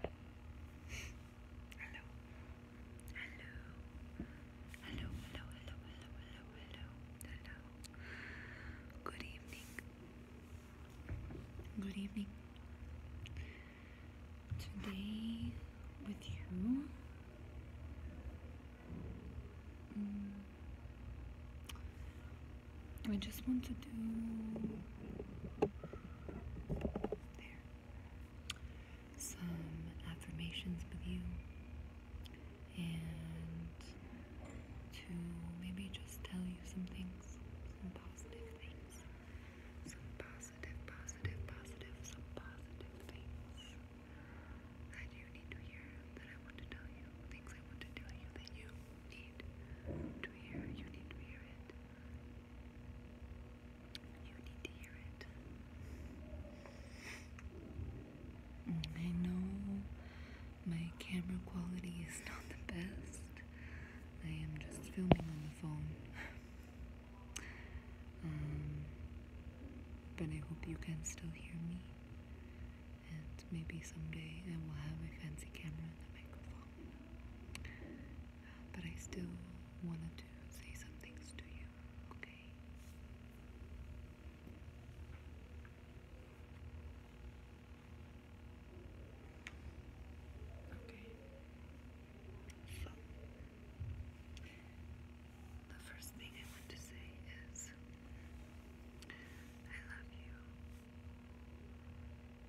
Hello. Hello. Hello, hello, hello, hello, hello, Good evening. Good evening. Today with you I just want to do there. Some affirmations with you, and to maybe just tell you some things, some positive things, some positive, positive, positive, some positive things that you need to hear, that I want to tell you, things I want to tell you that you need to hear, you need to hear it. Mm, I know my camera quality is not the best. I am just filming on the phone. Um, but I hope you can still hear me. And maybe someday I will have a fancy camera and a microphone. But I still wanted to say something to you, okay? Okay. So, the first thing I want to say is I love you.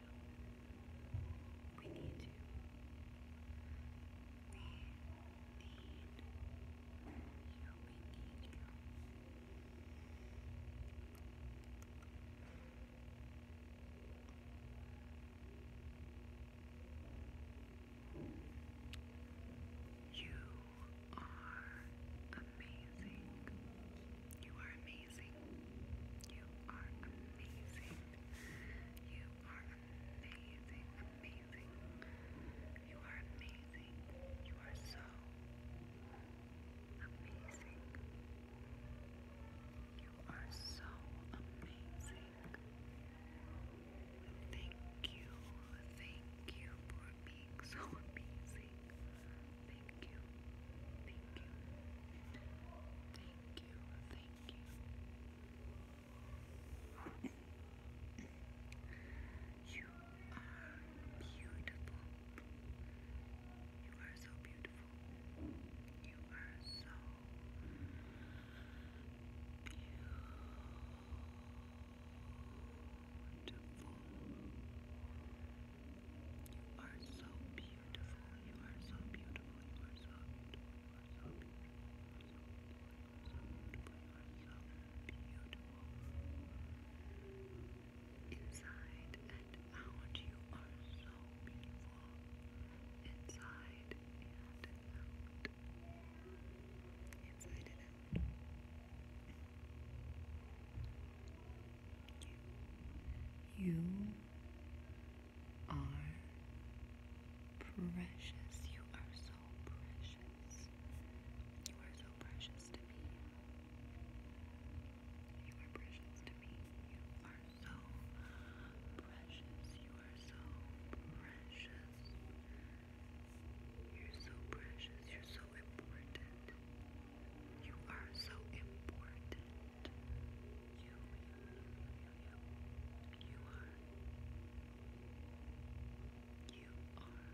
you. We need you. We need you. We need you. You are amazing. You are amazing. You are amazing. You are amazing, amazing. You are amazing. You are so amazing. You are so amazing. Thank you. Thank you for being so amazing. Thank you. Thank you. Thank you. Thank you. you are beautiful. You are so beautiful. You are so Beautiful. You are so beautiful. You are so beautiful. You are so beautiful. You are so beautiful. You are so beautiful. Inside and out, you are so beautiful. Inside and out. Inside and out. You are precious. You are so precious. You are so precious to me. You are precious to me. You are so precious. You are so precious. You're so precious. You're so important. You are so important. you. You are. You are.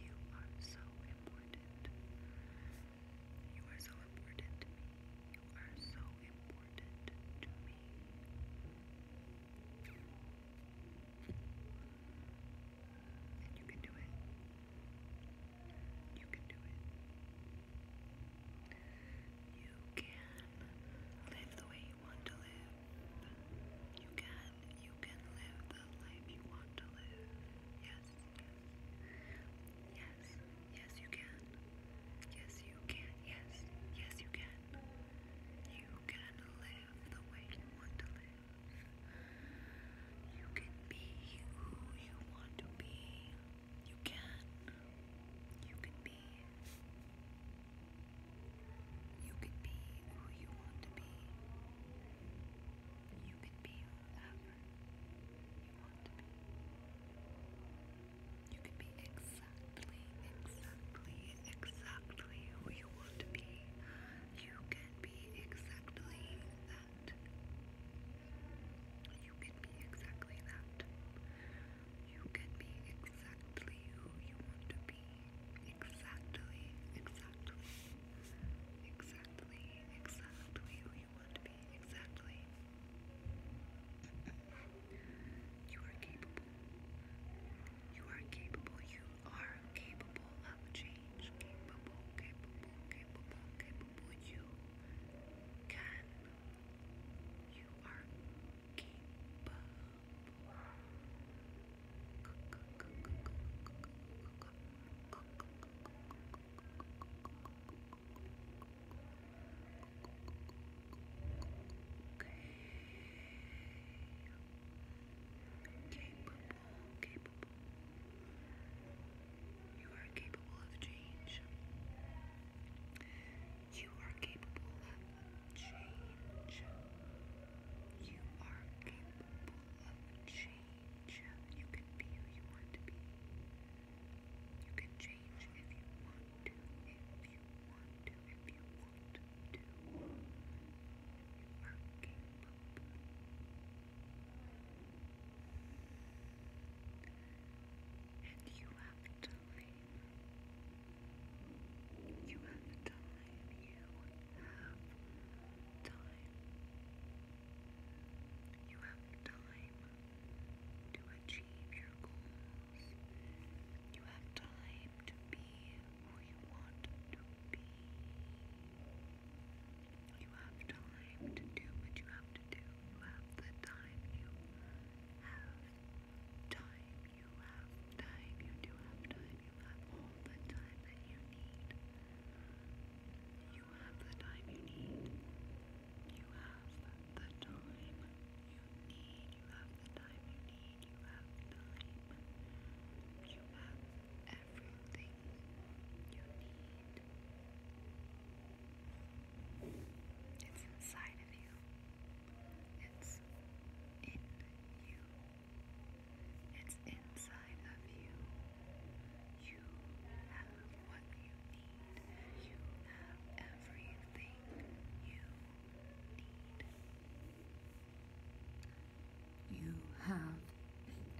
You are so important. You are so important to me. You are so important to me. And you can do it. You can do it. You can live the way you want to live. You can, you can live the life you want to live. yes. Yes, yes you can. Yes you can. Yes, yes you can. You can live the way you want to live. You can be who you want to be. You can. You can be. You can be who you want to be. You can be whoever you want to be. You can be exactly, exactly, exactly who you want to be. You can be exactly that that. You can be exactly that. You can be exactly who you want to be. Exactly, exactly. Exactly, exactly who you want to be. Exactly. You are capable. You are capable. You are capable of You can. You are Capable capable. You are capable of change. You are capable of change. You are capable of change. You can be who you want to be. You can change if you want to, if you want to, if you want you have time you have time you have time you have time to achieve your goals you have time to be who you want to be. You have time to do what you have to do. You have the time. You have time. You have time. You do have time. You have all the time that you need. You have the time you need. You have the time you need. You have the time you need. You have time. You have everything you need. It's inside of you. It's in you. It's inside of you. You have what you need. You have everything you need. You have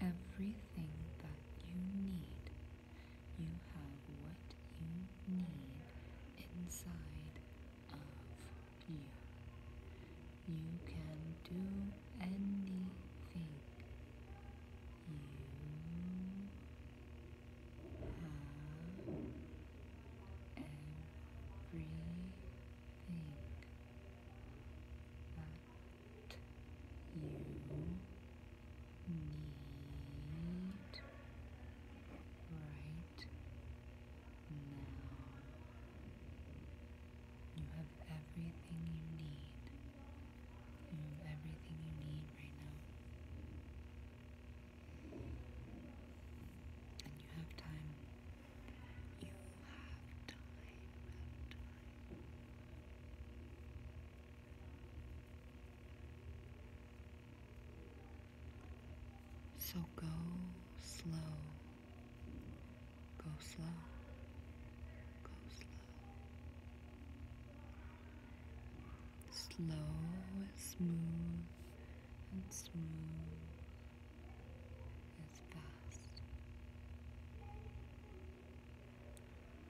everything that you need. You have what you need inside of you. You can do anything. You have everything you need right now. You have everything you need. You have everything you need right now. And you have time. So go slow, go slow, go slow. Slow and smooth and smooth as fast,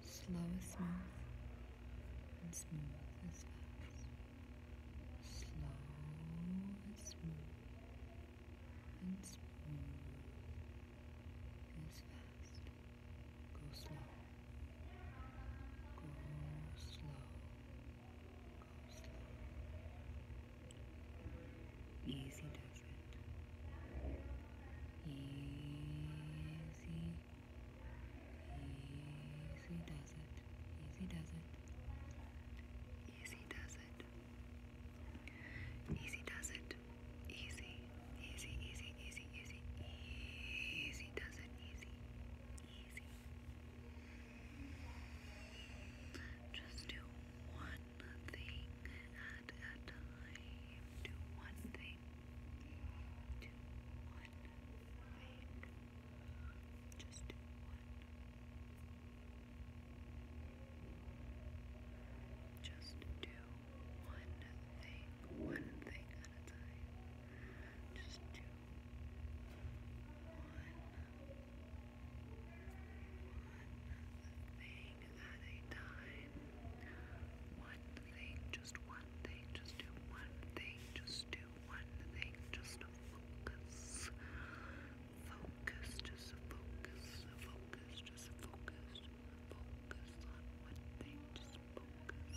slow as smooth, and smooth as fast, slow as smooth, and smooth as fast. Go slow, go slow. Easy does it. Easy. Easy does it. Easy does it. Easy does it. Easy does it. Easy. Easy, easy, easy, easy. Easy does it. Easy. Easy. Just do one thing at a time. Do one thing. Do one thing. Just do one. Just do one thing. One thing at a time. Just do thing at a time. One thing, just one thing, just do one thing, just do one thing, just focus. Focus, just focus, focus, just focus, focus on one thing, just focus.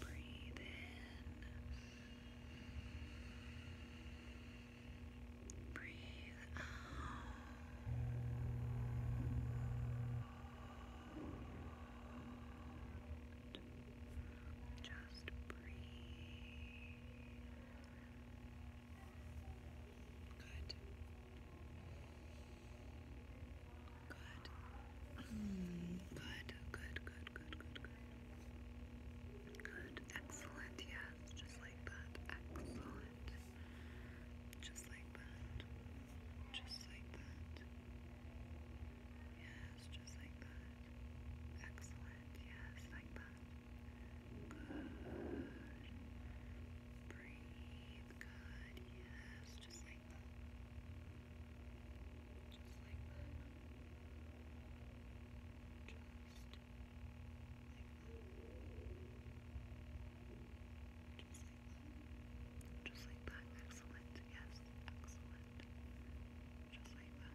Breathe in. Breathe out. Just breathe. Good. Good. Mm, good. Good, good, good, good, good. Excellent, yes. Just like that. Excellent. Just like that. Just like that. Yes, just like that. Excellent, yes, like that. Good. Breathe, good, yes, just like like Just like that. Just like that. Just like that. Just like that. Excellent. Yes. Excellent. Just like that.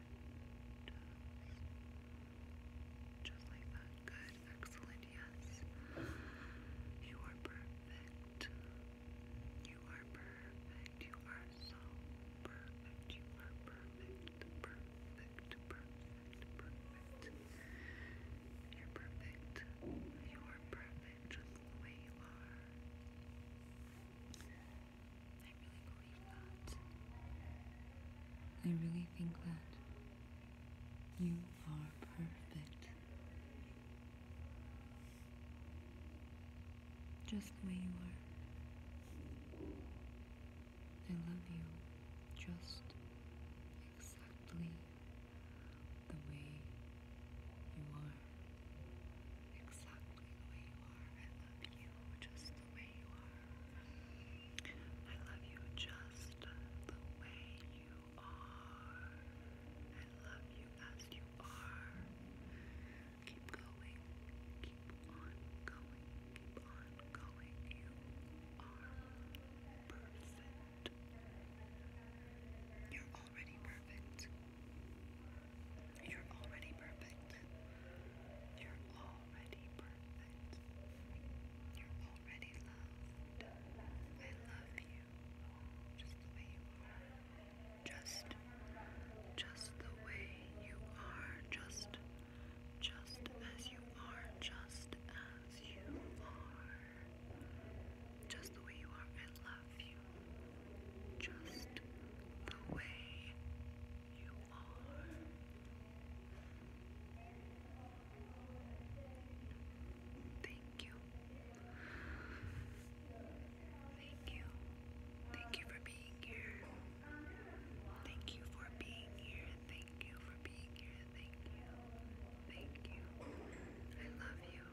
just like that. Good. Excellent. Yes. You are perfect. You are perfect. You are so perfect. You are perfect. Perfect. Perfect. Perfect. You're perfect. You are perfect just the way you are. I really believe that. I really think that you are perfect. Just the way you are. I love you just exactly the way you are. Exactly the way you are. I love you just the way you are. I love you just the way you I love you as you are. Keep going. Keep on going. Keep on going. You are perfect. You're already perfect. You're already perfect. You're already perfect already loved. I love you just the way you are. Just, just the way you are. Just, just as you are. Just as you are. Just the way you are. I love you. Just the way you are. Thank you. Thank you. Thank you for being here. Thank you for being here. Thank you for being here. Thank you. Thank you. I love you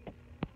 and thank you.